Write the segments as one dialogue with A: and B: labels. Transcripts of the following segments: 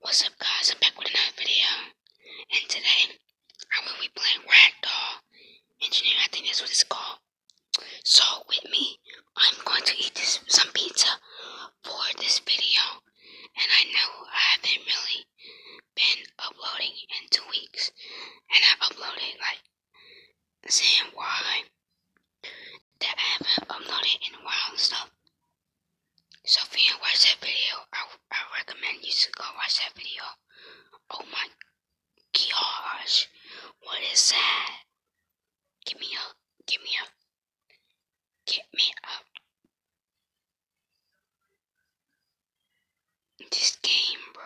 A: What's up guys, I'm back with another video, and today, I will be playing Ragdoll Engineer, I think that's what it's called. So, with me, I'm going to eat some pizza for this video, and I know I haven't really been uploading in two weeks, and I have uploaded, like, saying why, that I haven't uploaded in a while, so so if you watch that video, I, I recommend you to go watch that video. Oh my gosh, what is that? Give me up, give me up, get me up. This game, bro.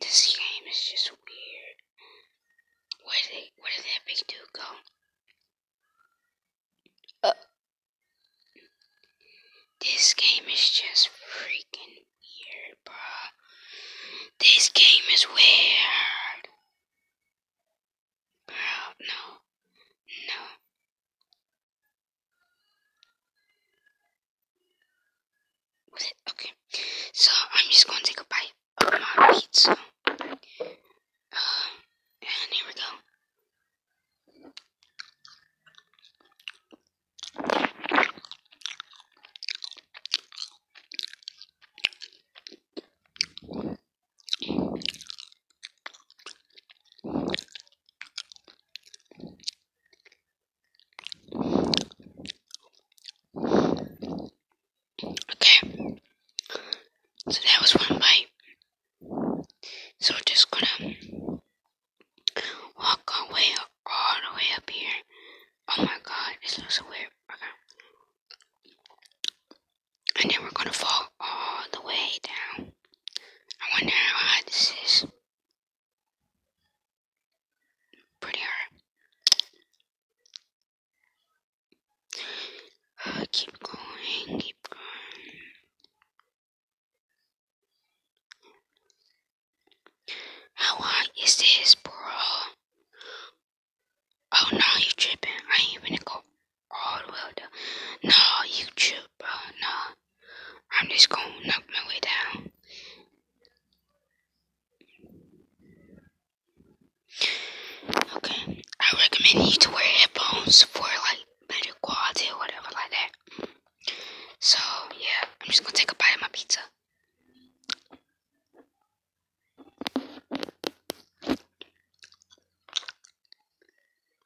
A: This game is just weird. Where did where did that big dude go? Uh, this game is just freaking weird, bro. This game is weird. Bro, no. No. Okay, so I'm just going to take a bite of my pizza. Uh, and here we go. Okay. So that was one bite. So we're just gonna walk our way up, all the way up here. Oh my god, this looks so weird. Okay. And then we're gonna fall all the way down. I wonder how high this is prettier. Uh, keep going, keep going. How hot is this, bro? Oh no, you tripping? I ain't even go all the way down. No, you trip, No, I'm just gonna knock my way down. Okay, I recommend you to wear headphones for like better quality or whatever like that. So yeah, I'm just gonna take a bite of my pizza.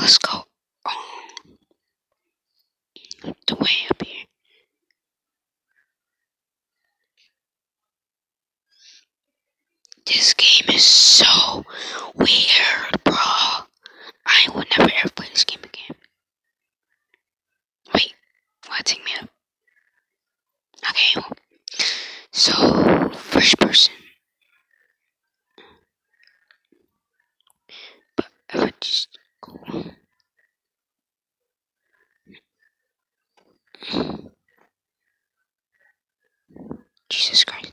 A: let's go um, the way up here. This game is so weird, bro. I would never ever play this game again. Wait, why take me up? Okay. So, first person. But I would just go. Jesus Christ.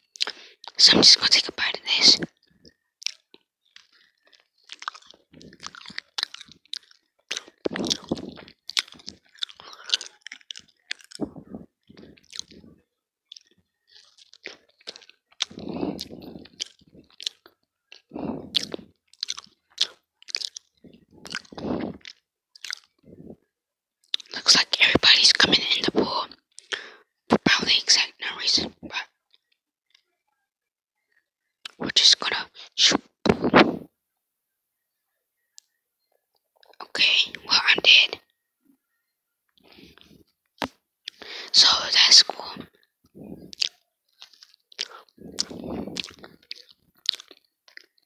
A: So I'm just gonna take a bite of this. Looks like everybody's coming in the pool for probably exact no reason, but we're just gonna shoot. Okay, well I'm dead. So that's cool.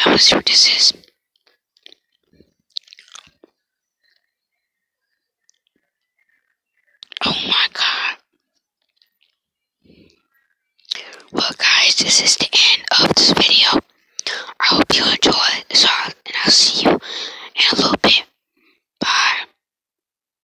A: I was to this is. Oh my god. Well guys, this is the end of this video. I hope you enjoyed this and I'll see you in a little bit. Bye.